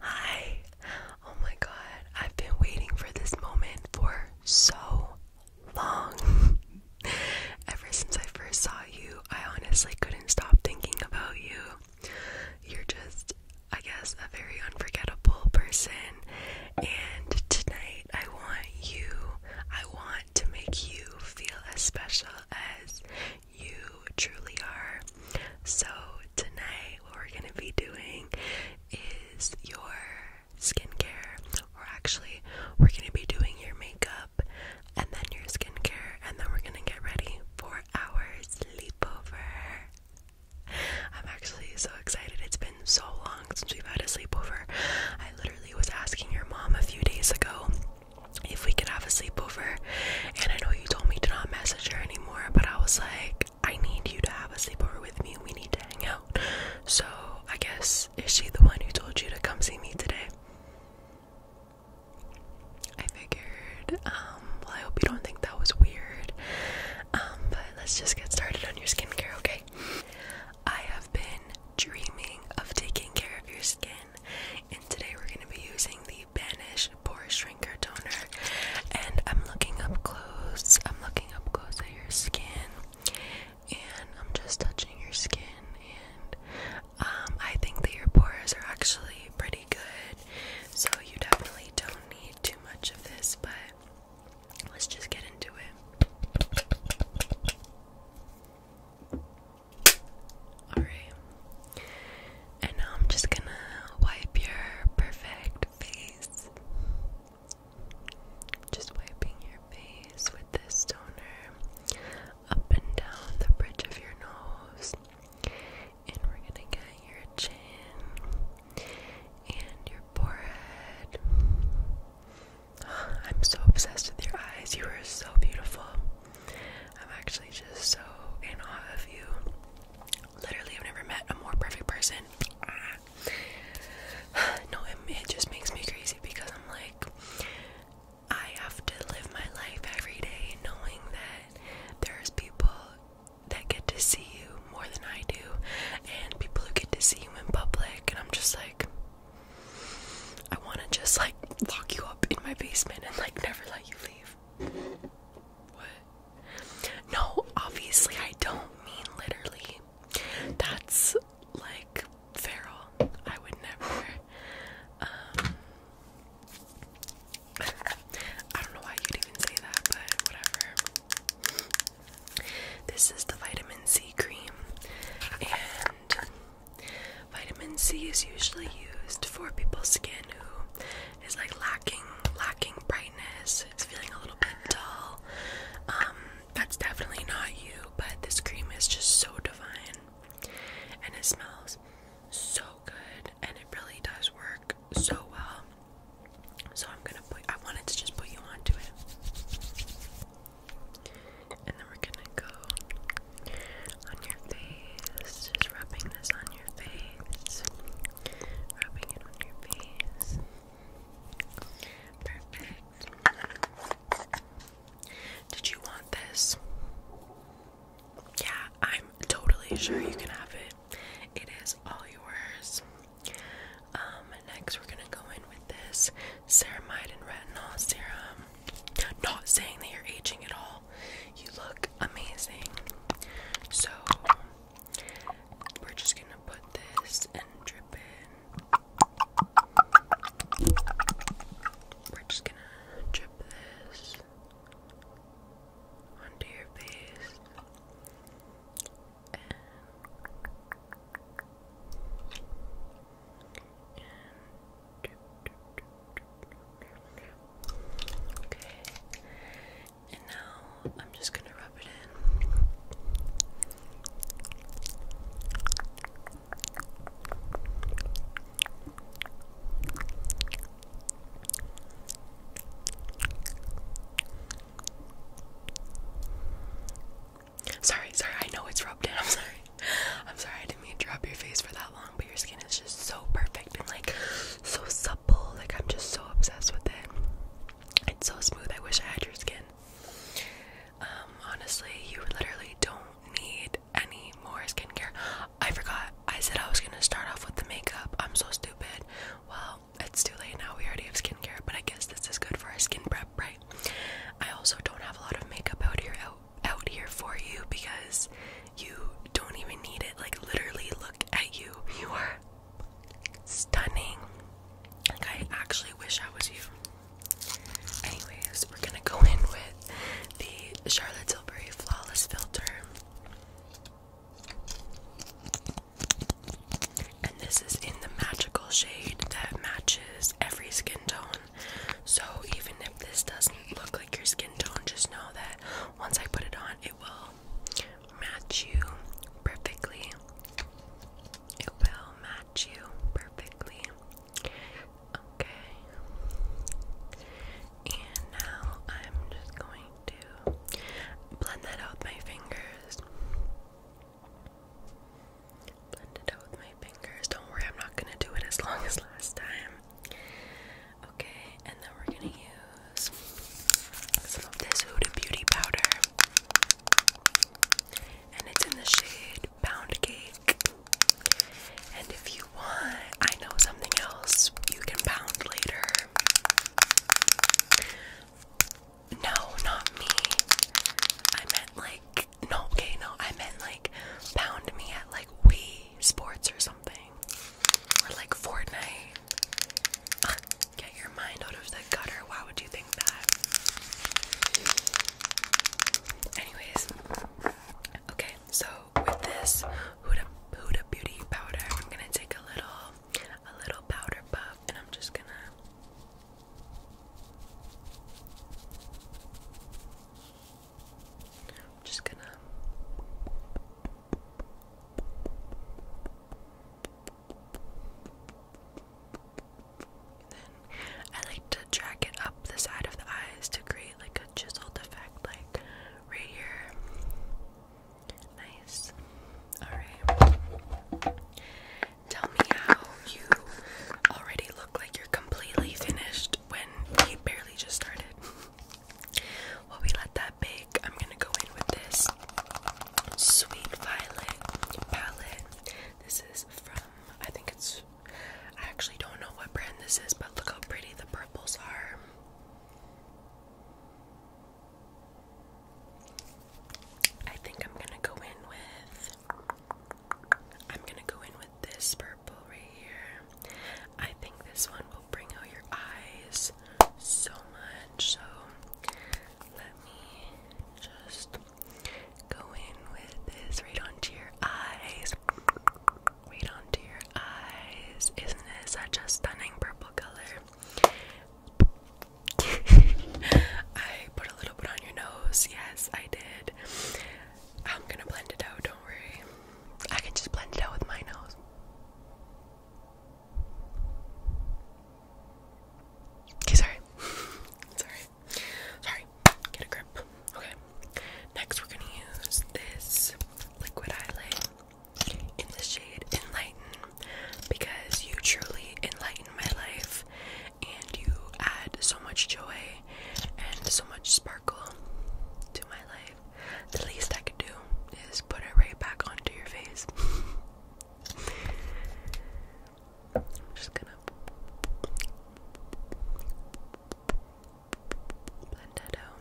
Hi. Oh my god. I've been waiting for this moment for so long. Ever since I first saw you, I honestly couldn't stop thinking about you. You're just, I guess, a very unforgettable person. And tonight, I want you, I want to make you feel as special as you truly are. So, tonight, what we're going to be doing is your skincare, or actually, we're going to be doing your makeup and then your skincare, and then we're going to get ready for our sleepover. I'm actually so excited. It's been so long since we've had a sleepover. I literally was asking your mom a few days ago if we could have a sleepover, and I know you told me to not message her anymore, but I was like, I need you to have a sleepover with me. We need to hang out. So I guess is she the one who told you to come see me today? I figured, um, well, I hope you don't think that was weird. Um, but let's just get started on your skincare, okay? I have been dreaming of taking care of your skin today we're going to be using the Banish Pore Shrinker Toner. And I'm looking up close, I'm looking up close at your skin, and I'm just touching your skin. And um, I think that your pores are actually pretty good, so you definitely don't need too much of this, but. Let's just get into it. Alright. And now I'm just gonna wipe your perfect face. Just wiping your face with this toner up and down the bridge of your nose. And we're gonna get your chin and your forehead. I'm so obsessed with your eyes. You are so beautiful. I'm actually just so in awe of you. Literally, I've never met a more perfect person. no, it, it just makes me crazy because I'm like, I have to live my life every day knowing that there's people that get to see you more than I do, and people who get to see you in public, and I'm just like, I want to just like lock you up in my basement and like never let you leave. No, obviously, I don't mean literally. That's like feral. I would never. Um, I don't know why you'd even say that, but whatever. This is the vitamin C cream, and Vitamin C is usually used for people's skin who is like lacking lacking brightness. It's feeling a little bit dull. Um, that's definitely not you, but this cream is just so divine, and it smells so good, and it really does work so well. So I'm gonna put. I wanted to just put you onto it, and then we're gonna go on your face. Just rubbing this on your face. Rubbing it on your face. Perfect. Did you want this? Yeah, I'm totally sure you can have it. It is all yours. Um, next we're gonna go in with this ceramide and retinol serum. Not saying that you're aging at all. You look amazing. So we're just gonna put this and drip in. We're just gonna drip this onto your face. Okay. And now I'm just going to rub it in. Sorry, sorry, I know it's rubbed in. I'm sorry. I'm sorry, I didn't mean drop your face for that long, but your skin is just so perfect and like so supple. Like I'm just so obsessed with it. It's so smooth. I wish I had your skin. Um, honestly, you literally don't need any more skincare. I forgot. I said I was gonna start off with the makeup. I'm so stupid. Well, it's too late now. We already have skincare, but I guess this is good for our skin prep, right? I also don't have a lot of makeup out here out here for you because you don't even need it. Like, literally, look at you. You are stunning. Like, I actually wish I was you. Anyways, we're gonna go in with the Charlotte Tilbury Flawless Filter. And this is in the magical shade that matches every skin tone so even if this doesn't look like your skin tone, just know that once I put it on, it will match you perfectly. It will match you perfectly. Okay. And now I'm just going to blend that out with my fingers. Blend it out with my fingers. Don't worry, I'm not gonna do it as long as last time. Okay, and then we're gonna use some of this Huda Beauty powder, and it's in the shade Pound And if you want, I know something else you can pound later. No, not me. I meant like no, okay, no, I meant like pound me at like we sports or something, or like Fortnite. get your mind out of the gutter. Why would you think that? Anyways, okay. So with this Huda Beauty powder, I'm gonna take a little a little powder puff, and I'm just gonna. I'm just gonna then I like to drag it up the side of the eyes to create like a chiseled effect like right here. Nice. Alright. Tell me how you already look like you're completely finished when we barely just started. While we let that bake, I'm gonna go in with this Sweet Violet palette. This is from, I think it's, I actually don't know what brand this is, but look how pretty the purples are. I think I'm gonna go in with, I'm gonna go in with this purple right here. I think this one will bring out your eyes so much. So let me just go in with this right onto your eyes. Right onto your eyes. Isn't it such a stunning purple color? I put a little bit on your nose. Yes, I did. I'm gonna blend it out, don't worry. I can just blend it out with my nose. Okay, sorry. sorry. Sorry. Get a grip. Okay. Next, we're gonna use this liquid eyelid in the shade Enlighten because you truly enlighten my life and you add so much joy and so much sparkle to my life. The least I could do is put it right back onto your face. I'm just gonna blend that out.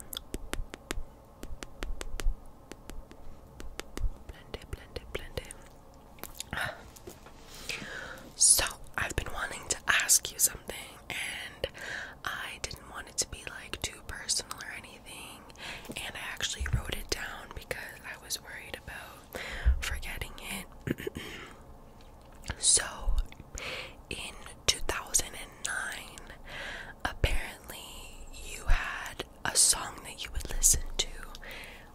Blend it, blend it, blend it. So, I've been wanting to ask you something and I didn't want it to be like too personal or anything. And I actually wrote it down because I was worried about forgetting it. so, in 2009, apparently you had a song that you would listen to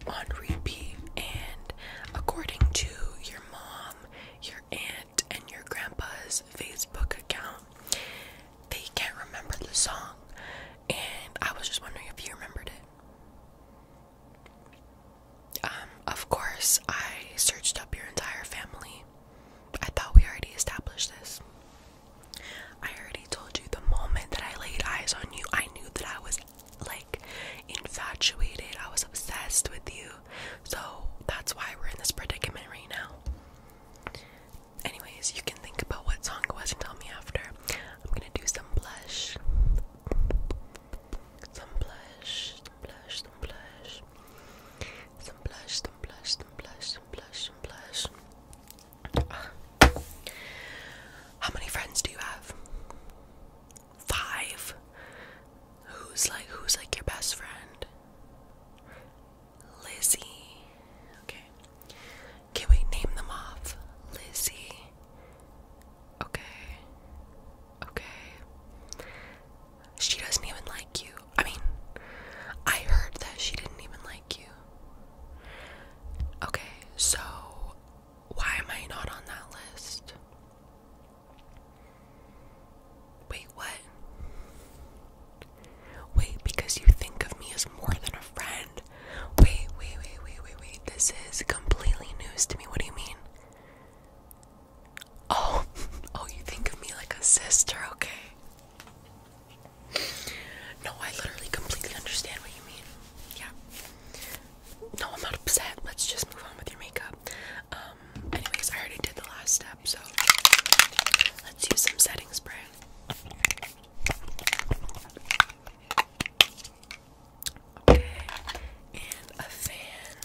on repeat, and according to your mom, your aunt, and your grandpa's Facebook account, they can't remember the song. And I was just wondering if you remembered it. Um, of course, I searched up your entire family. I thought we already established this. I already told you the moment that I laid eyes on you, I knew that I was like infatuated. I was obsessed with you. So that's why we're in this predicament right now. Anyways, you can think about what song it was and tell me after. I'm gonna do some blush. Some blush, some blush, some blush. Some blush, some blush, some blush, some blush, some blush. How many friends do you have? five. Who's like who's like your best friend? Lizzie. Okay. Can we name them off? Lizzie. Okay. Okay. She doesn't even like you. I mean, I heard that she didn't even like you. Okay, so why am I not on that list? Wait, what? Wait, because you think of me as more than a friend. Wait, wait, wait, wait, wait, wait. This is completely news to me. What do you mean? Oh, oh, you think of me like a sister, okay. No, I literally completely understand what you mean. Yeah. No, I'm not upset. Let's just move on with your makeup. Um, anyways, I already did the last step, so let's use some setting spray. and a fan.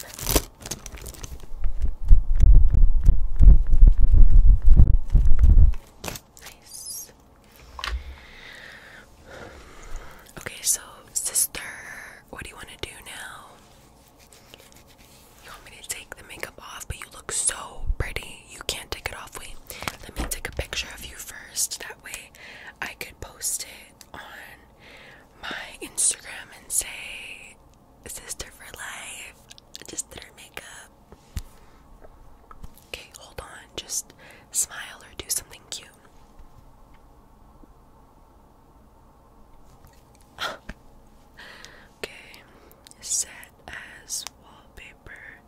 Nice. Okay, so sister what do you want to do now? You want me to take the makeup off, but you look so pretty. You can't take it off. Wait, let me take a picture of you first. That way I could post it on my Instagram and say, Sister for Life. I just did her makeup. Okay, hold on. Just smile or do something cute. okay, set as wallpaper.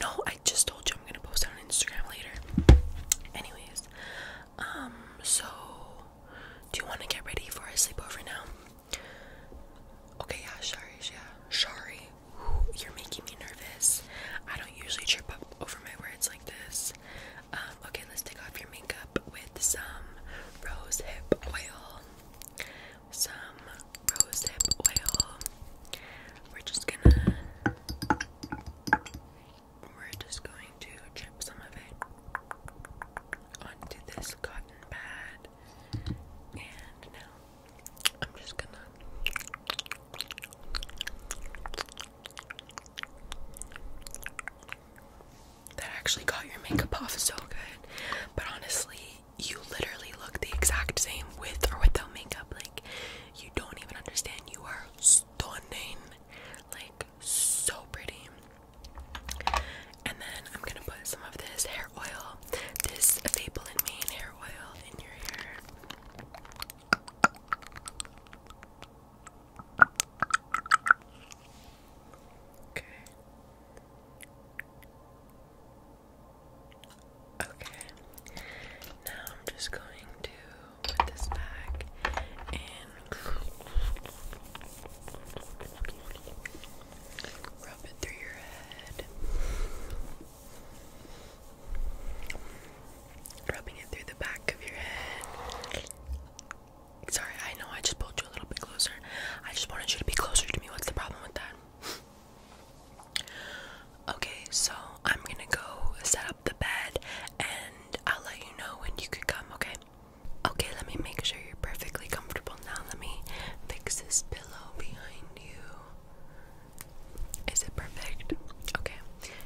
No, I just told you I'm gonna post on Instagram later. Anyways, um, so do you want to get ready for our sleepover now? Okay, yeah, sorry, yeah, sorry. you're making me nervous. I don't usually trip up over my words like this. Um, Okay, let's take off your makeup with some rose hip oil. Some rose hip oil. We're just gonna. We're just going to chip some of it onto this cotton pad. And now I'm just gonna that actually got your makeup off so good. But honestly, you literally look the exact same with or without makeup. Like, you don't even understand. You are stunning. Like, so pretty. And then I'm gonna put some of this hair oil, this Fable hair oil in your hair. Okay. Okay. Now I'm just going to put this back and rub it through your head rubbing it through the back of your head. Sorry, I know I just pulled you a little bit closer. I just wanted you to be closer to me. What's the problem with that? okay, so I'm gonna go set up the bed and I'll let you know when you could come, okay? Okay, let me make sure you're perfectly comfortable now. Let me fix this pillow behind you. Is it perfect? Okay,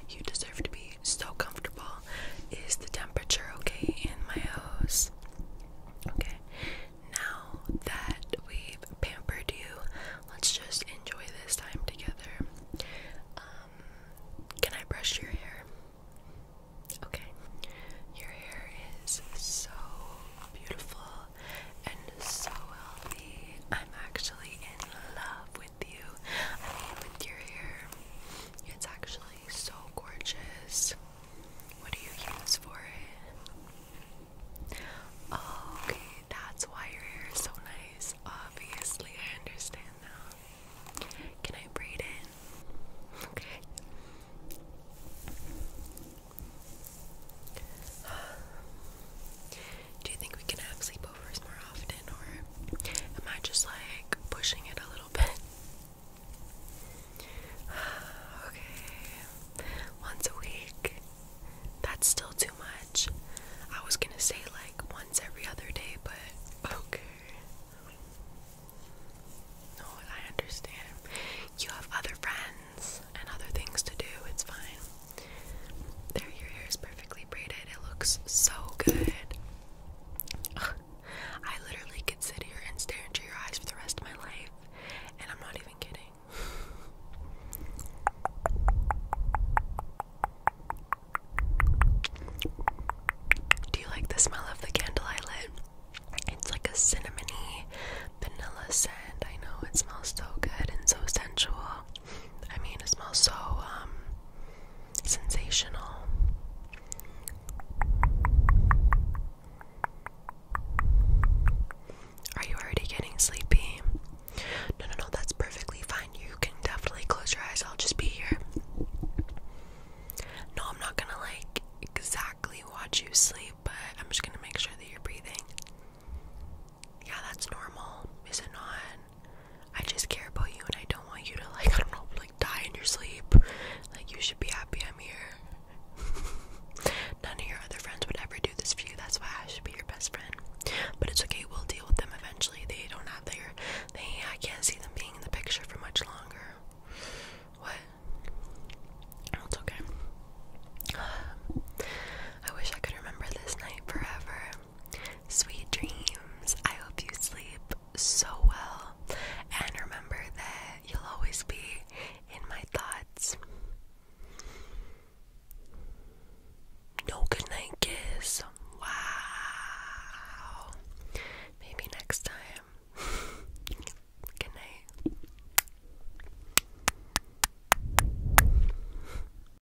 you deserve to be so comfortable is the temperature okay in my house. Okay, now that we've pampered you, let's just enjoy this time together. Um, can I brush your hair? Okay, your hair is so beautiful and so healthy. I'm actually in love with with you. it's actually so gorgeous. What do you use for it? okay, that's why your hair is so nice. Obviously, I understand now. Can I braid it? Okay. Do you think we can have sleepovers more often, or am I just like pushing it a little bit? okay, once a week. That's still too much. I was gonna say like once every other day, but okay. No, I understand. You have other friends and other things to do, it's fine. There, your hair is perfectly braided. It looks so good. I literally could sit here and stare into your eyes for the rest of my life, and I'm not even kidding. Do you like the smell of the candle I lit? It's like a cinnamony vanilla scent. I know it smells so good and so sensual. I mean, it smells so um, sensational. Are you already getting sleepy? No, no, no, that's perfectly fine. You can definitely close your eyes. I'll just be here. No, I'm not gonna like exactly watch you sleep, but I'm just gonna make sure that you're breathing yeah, that's normal, is it not? I just care about you and I don't want you to like I don't know like die in your sleep. Like you should be happy I'm here. None of your other friends would ever do this for you. That's why I should be your best friend. But it's okay, we'll deal with them eventually. They don't have their they I can't see them being in the picture for much longer. What? it's okay. I wish I could remember this night forever. Sweet dreams. I hope you sleep so well. And remember that you'll always be in my thoughts. No goodnight kiss. Wow. Maybe next time. Good night.